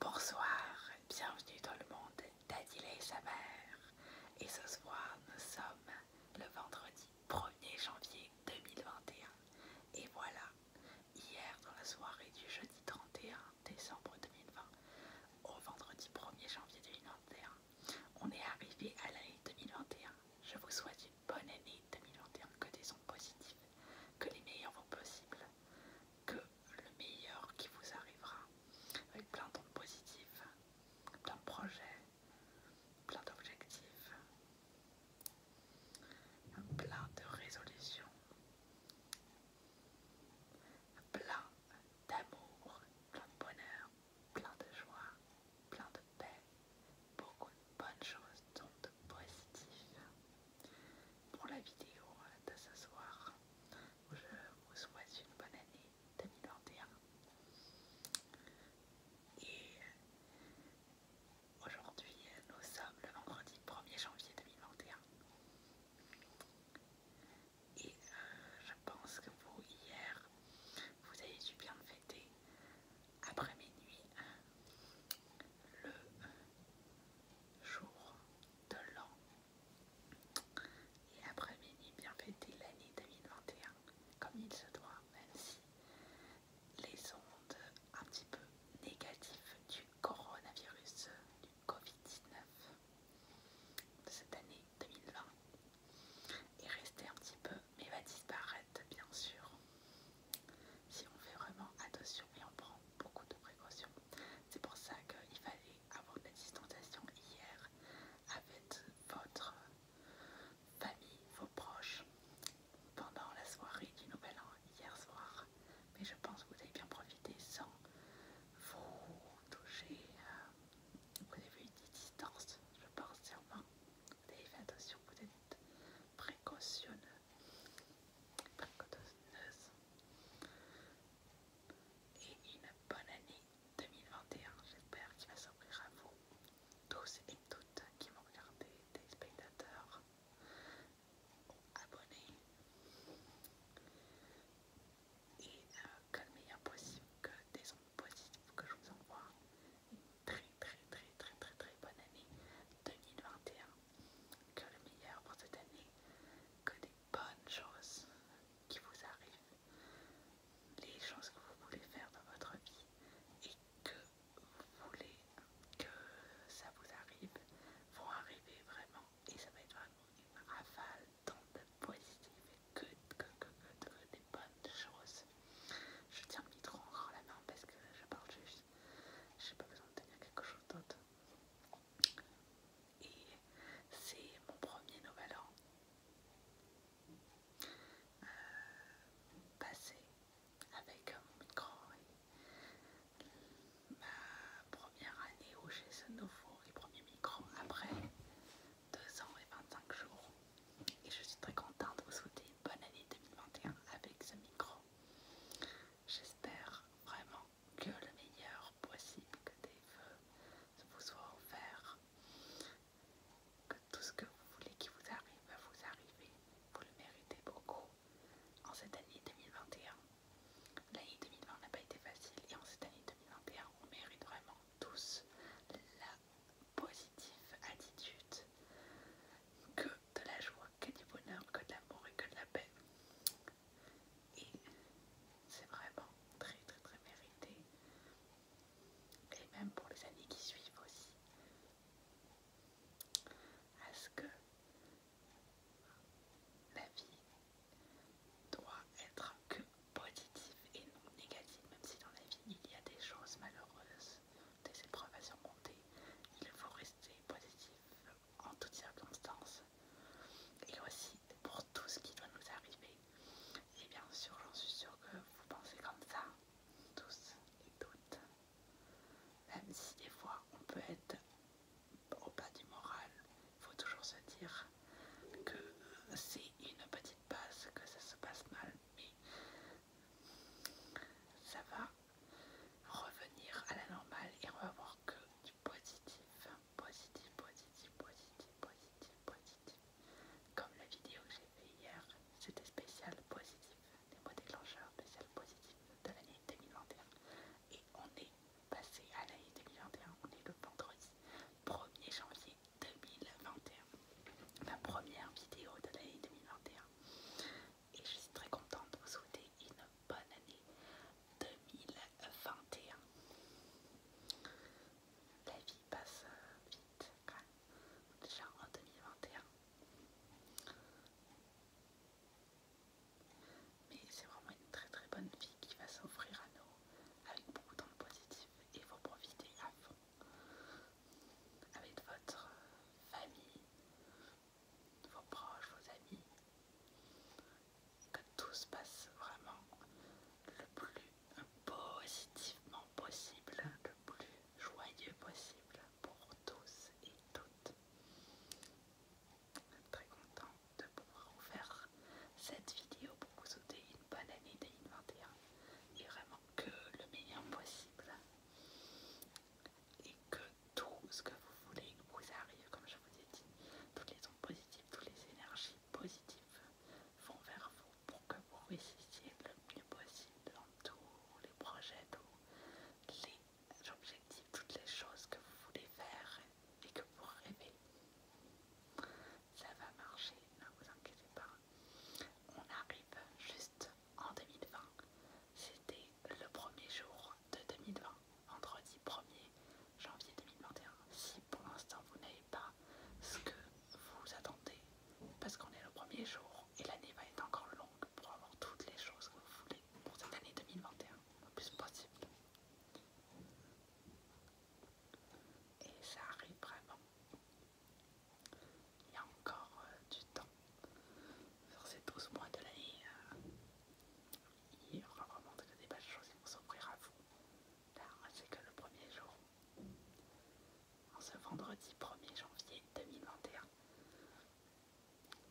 Bonsoir, bienvenue dans le monde Daddy et sa mère. Et ce soir, nous sommes le vendredi 1er janvier 2021. Et voilà, hier dans la soirée du jeudi 31 décembre 2020 au vendredi 1er janvier 2021, on est arrivé à l'année 2021. Je vous souhaite une bonne année 2021, que des sons positives, que les meilleurs vont possibles, que le meilleur qui vous arrivera, avec plein d'ondes positives, plein de projets, plein d'objectifs, plein de résolutions, plein d'amour, plein de bonheur, plein de joie, plein de paix, beaucoup de bonnes choses, donc de positifs pour la vidéo de ce soir. Je vous souhaite une bonne année 2021. Et aujourd'hui, nous sommes le vendredi 1er janvier 2021. Et euh, je pense que vous, hier, vous avez dû bien fêter après minuit le jour de l'an et après-midi bien fêter l'année 2021 comme il se doit, même si les ondes un petit peu négatives du coronavirus, du Covid-19 de cette année 2020 est restée un petit peu mais va disparaître bien sûr si on fait vraiment attention et on prend beaucoup de précautions. C'est pour ça qu'il fallait avoir de la distanciation hier avec votre famille, vos proches, pendant la soirée du Nouvel An hier soir. Mais je pense que vous avez bien profité sans vous toucher. Euh, vous avez eu des distances, je pense sûrement. Vous avez fait attention, vous êtes précautionneux et une bonne année 2021. J'espère qu'il va s'ouvrir à vous tous et toutes qui m'ont regardé, des spectateurs, abonnés et euh, que le meilleur possible, que des ondes positives que je vous envoie. Une très très très très très très bonne année 2021 que le meilleur pour cette année, que des bonnes choses qui vous arrivent, les choses que vous voulez faire dans votre vie et que vous voulez que ça vous arrive vont arriver vraiment et ça va être vraiment une rafale de positives et que, des bonnes choses. Je tiens le micro encore la main parce que je parle juste. J'ai pas besoin de tenir quelque chose d'autre. Et c'est mon premier nouvel an euh, passé avec mon micro et ma première année où j'ai ce nouveau et premier micro après 2 ans et 25 jours. Et je suis très contente de vous souhaiter une bonne année 2021 avec ce micro. J'espère vraiment que le meilleur possible, que des vœux vous soient offerts, que tout ce que vous voulez qui vous arrive va vous arriver. Vous le méritez beaucoup en cette année 2021. L'année 2020 n'a pas été facile et en cette année 2021, on mérite vraiment tous la positive attitude que de la joie que du bonheur, que de l'amour et que de la paix. Et c'est vraiment très très très mérité. Et même pour les années qui suivent aussi. À ce que la vie doit être que positive et non négative, même si dans la vie il y a des choses malheureuses, des épreuves à surmonter, il faut rester positif, en toutes circonstances et aussi pour tout ce qui doit nous arriver. Et bien sûr, j'en suis sûre que vous pensez comme ça, tous et toutes. Même si des fois on peut être au bas du moral, il faut toujours se dire que c'est une petite passe, que ça se passe mal, mais ça va revenir à la normale et revoir que du positif, positif, positif, positif, positif, positif. Comme la vidéo que j'ai fait hier, c'était spécial positif, des mots déclencheurs spécial positif de l'année 2021. Et on est passé à l'année 2021, on est le vendredi 1er janvier 2021. Ma première vidéo de l'année 2021 et je suis très contente de vous souhaiter une bonne année 2021. La vie passe vite quand même, déjà en 2021. Mais c'est vraiment une très très bonne vie qui va s'offrir à nous avec beaucoup de temps positif et vous profitez profiter à fond avec votre famille, vos proches, vos amis, que tout se passe vraiment le plus positivement possible, le plus joyeux possible pour tous et toutes. Je suis très contente de pouvoir vous faire cette vidéo pour vous souhaiter une bonne année 2021 et vraiment que le meilleur possible et que tout ce que vous voulez vous arrive, comme je vous ai dit. Toutes les ondes positives, toutes les énergies positives vont vers vous pour que vous réussissiez le mieux possible dans tous les projets, tous les objectifs, toutes les choses que vous voulez faire et que vous rêvez. Ça va marcher, ne vous inquiétez pas. On arrive juste en 2020. C'était le premier jour de 2020 vendredi 1er janvier 2021. Si pour l'instant vous n'avez pas ce que vous attendez, parce qu'on est le premier jour et l'année va être encore longue pour avoir toutes les choses que vous voulez pour cette année 2021, le plus possible. Et ça arrive vraiment. Il y a encore euh, du temps. Sur ces 12 mois de l'année, euh, il y aura vraiment des belles choses qui vont s'offrir à vous. Là, c'est que le premier jour. En ce vendredi 1er janvier 2021.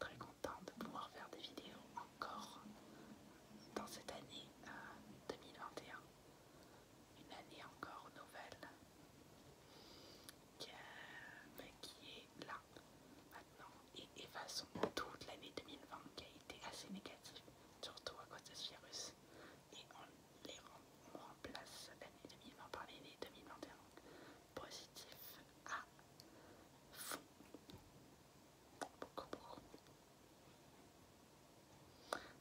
Très content de pouvoir faire des vidéos encore dans cette année 2021. Euh, Une année encore nouvelle qui est là. Non, et effaçons toute l'année 2020 qui a été assez négative, surtout à cause de ce virus. Et on, les remplace l'année 2020 par l'année 2021. Positif à fond. Beaucoup, beaucoup.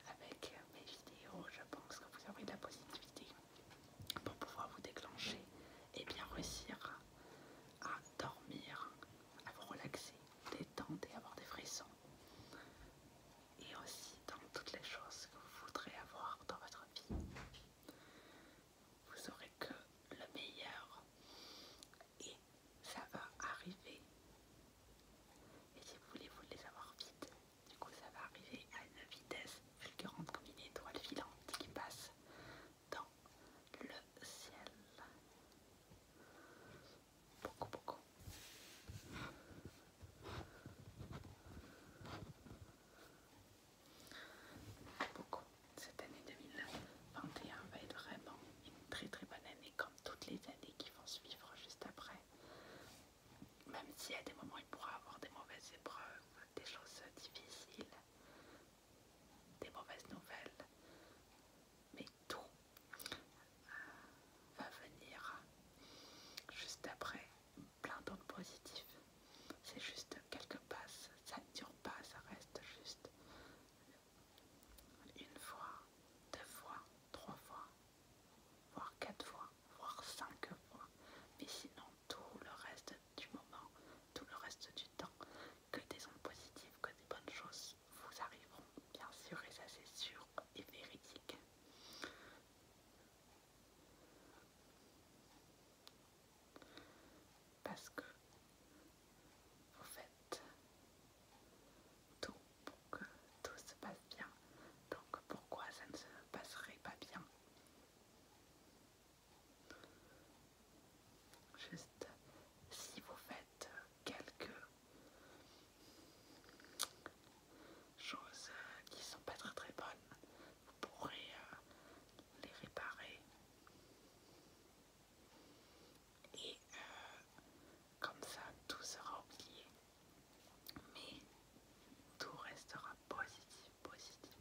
Avec mes vidéos, je pense que vous aurez de la positivité pour pouvoir vous déclencher et bien réussir à, dormir, à vous relaxer, détendre et avoir des frissons. Et aussi dans toutes les choses que vous voudrez avoir dans votre vie. Vous aurez que le meilleur. Et ça va arriver. Et si vous voulez, vous les avoir vite. Du coup, ça va arriver à une vitesse fulgurante comme une étoile filante qui passe dans le ciel. Beaucoup, beaucoup. Beaucoup. Cette année 2021 va être vraiment une très très bonne année comme toutes les années qui vont suivre juste après. Même si à des moments il pourra avoir des mauvaises épreuves, des choses difficiles, des mauvaises nouvelles, mais tout euh, va venir juste après, plein d'autres positifs. C'est juste quelques passes, ça ne dure pas, ça reste juste une fois, deux fois, trois fois, voire quatre fois, voire cinq fois. Mais sinon, tout le reste du moment, tout le reste du temps, que des ondes positives, que des bonnes choses vous arriveront, bien sûr, et ça c'est sûr et véridique. Parce que vous faites tout pour que tout se passe bien. Donc pourquoi ça ne se passerait pas bien Juste si vous faites quelques choses qui sont pas très très bonnes, vous pourrez euh, les réparer. Et euh, comme ça, tout sera oublié. Mais tout restera positif positif,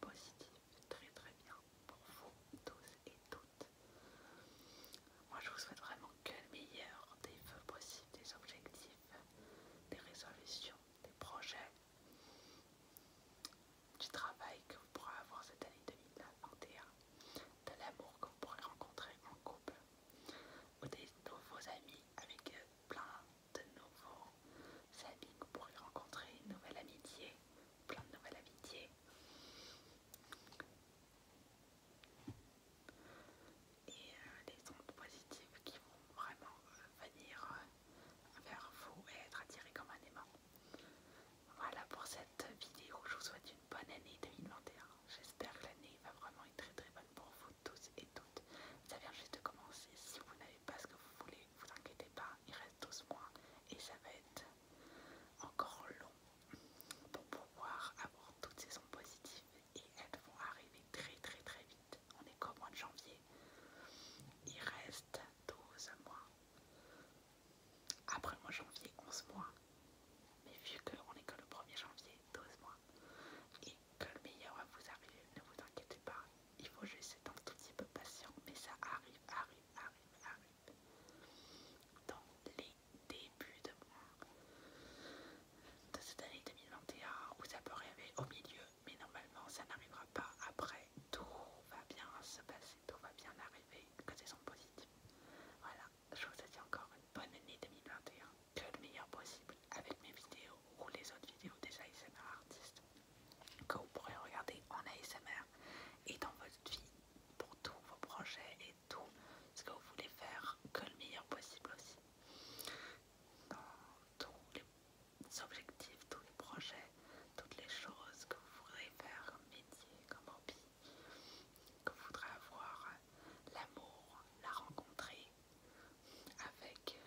positif, très très bien pour vous tous et toutes. Moi je vous souhaite vraiment que le meilleur des vœux possibles, des objectifs, des résolutions, des projets, du travail que vous pourrez avoir cette année 2021, de l'amour que vous pourrez rencontrer en couple, ou des nouveaux amis avec plein de nouveaux amis que vous pourrez rencontrer, une nouvelle amitié plein de nouvelles amitiés. Et les euh, ondes positives qui vont vraiment euh, venir euh, vers vous et être attirées comme un aimant. Voilà pour cette vidéo. Je vous souhaite une bonne année 2021. J'espère que l'année va vraiment être très très bonne pour vous tous et toutes. Ça vient juste de commencer. Si vous n'avez pas ce que vous voulez, vous inquiétez pas. Il reste 12 mois et ça va être encore long pour pouvoir avoir toutes ces ondes positives et elles vont arriver très très très vite. On est qu'au mois de janvier. Il reste 12 mois. Après le mois de janvier, 11 mois. Mais vu qu'on est que le 1er janvier, 12 mois, et que le meilleur va vous arriver, ne vous inquiétez pas, il faut juste être un tout petit peu patient, mais ça arrive, arrive, arrive, arrive. Dans les débuts de mois de cette année 2021, vous ça peut arriver au milieu, mais normalement ça n'arrivera pas après. Tout va bien se passer, tout va bien arriver, que ce soit positives. Voilà, je vous souhaite encore une bonne année 2021, que le meilleur possible avec mes vidéos ou les autres vidéos des ASMR artistes que vous pourrez regarder en ASMR et dans votre vie pour tous vos projets et tout ce que vous voulez faire que le meilleur possible aussi dans tous les objectifs, tous les projets, toutes les choses que vous voudrez faire comme métier, comme hobby, que vous voudrez avoir l'amour, la rencontrer avec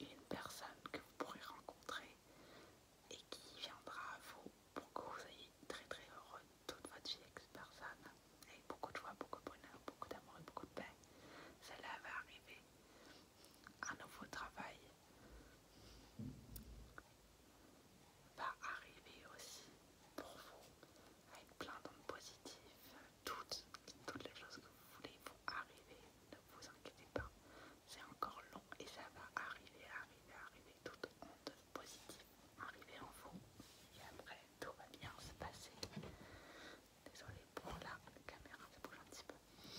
une personne que vous pourrez rencontrer et qui viendra à vous pour que vous soyez très très heureux toute votre vie avec personne, avec beaucoup de joie, beaucoup de bonheur, beaucoup d'amour et beaucoup de paix. Cela va arriver. Un nouveau travail va arriver aussi pour vous avec plein d'ondes positives. Toutes, toutes les choses que vous voulez vont arriver. Ne vous inquiétez pas c'est encore long et ça va arriver, arriver, arriver, toute honte positive, arriver en vous et après tout va bien se passer. Désolé pour la caméra, ça bouge un petit peu.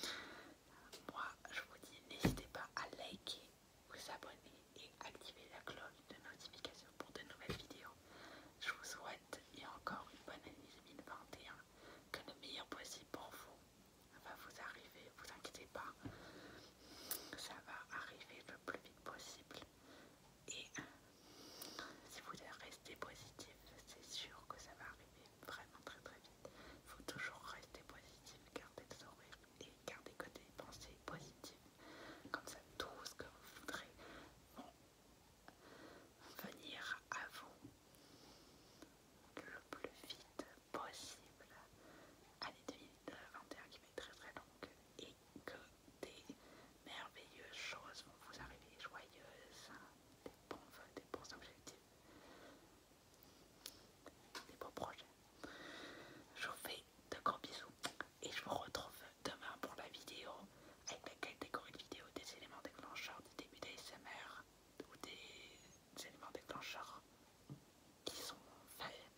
Euh, moi je vous dis, n'hésitez pas à liker, vous abonner et activer la cloche de notification pour de nouvelles vidéos. Je vous souhaite et encore une bonne année 2021, que le meilleur possible pour vous. Ça va vous arriver, vous inquiétez pas, ça va arriver le plus vite possible. Et si vous restez positif, c'est sûr que ça va arriver vraiment très très vite. Il faut toujours rester positif, garder le sourire et garder côté des pensées positives. Comme ça, tout ce que vous voudrez vont venir à vous le plus vite possible année 2021 qui va être très très longue et que des merveilleuses choses vont vous arriver, joyeuses, hein. des bons vœux, des bons objectifs, des beaux projets. Je vous fais de gros bisous et je vous retrouve demain pour la vidéo avec laquelle décorer de vidéo des éléments déclencheurs du début d'ASMR ou des éléments déclencheurs qui sont faits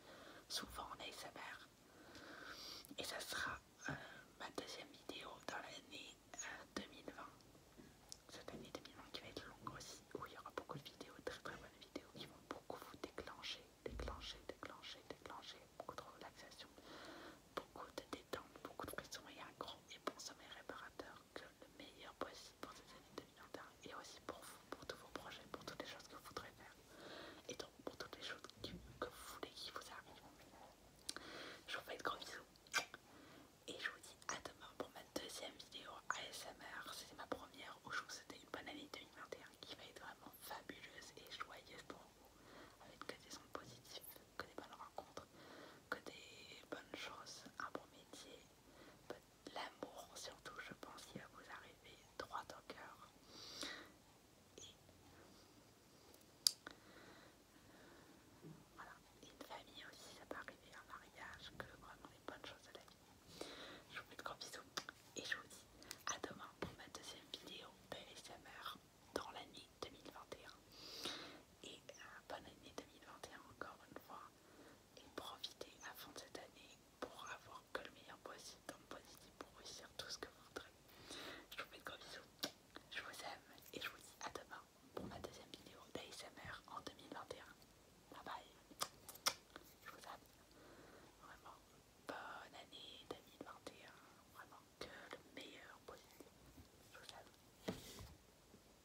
souvent en ASMR. Et ça sera euh, ma deuxième vidéo dans l'année 2020. Euh, Cette année 2020 qui va être longue aussi, où il y aura beaucoup de vidéos, très très bonnes vidéos qui vont beaucoup vous déclencher, déclencher, déclencher, déclencher, beaucoup de relaxation, beaucoup de détente, beaucoup de pression et un grand et bon sommeil réparateur le meilleur possible pour cette année 2021 et aussi pour vous, pour tous vos projets, pour toutes les choses que vous voudrez faire et donc pour toutes les choses que vous voulez qui vous arrivent. Je vous fais de gros bisous et je vous dis à demain pour ma deuxième vidéo ASMR. C'était ma première où je vous une bonne année 2021 qui va être vraiment fabuleuse et joyeuse pour vous avec que des sons positifs que des bonnes rencontres, que des bonnes choses, un bon métier L'amour surtout je pense qu'il va vous arriver droit au cœur. Et voilà, une famille aussi ça peut arriver, un mariage, que vraiment les bonnes choses de la vie. Je vous fais de gros bisous et je vous dis à demain pour ma deuxième vidéo PSMR dans l'année 2021. Et euh, bonne année 2021 encore une fois et profitez à de cette année pour avoir que le meilleur possible positif pour réussir tout ce que vous voudrez. Je vous fais de gros bisous, je vous aime et je vous dis à demain pour ma deuxième vidéo d'ASMR en 2021. Bye bye, je vous aime, vraiment bonne année 2021, vraiment que le meilleur possible, je vous aime.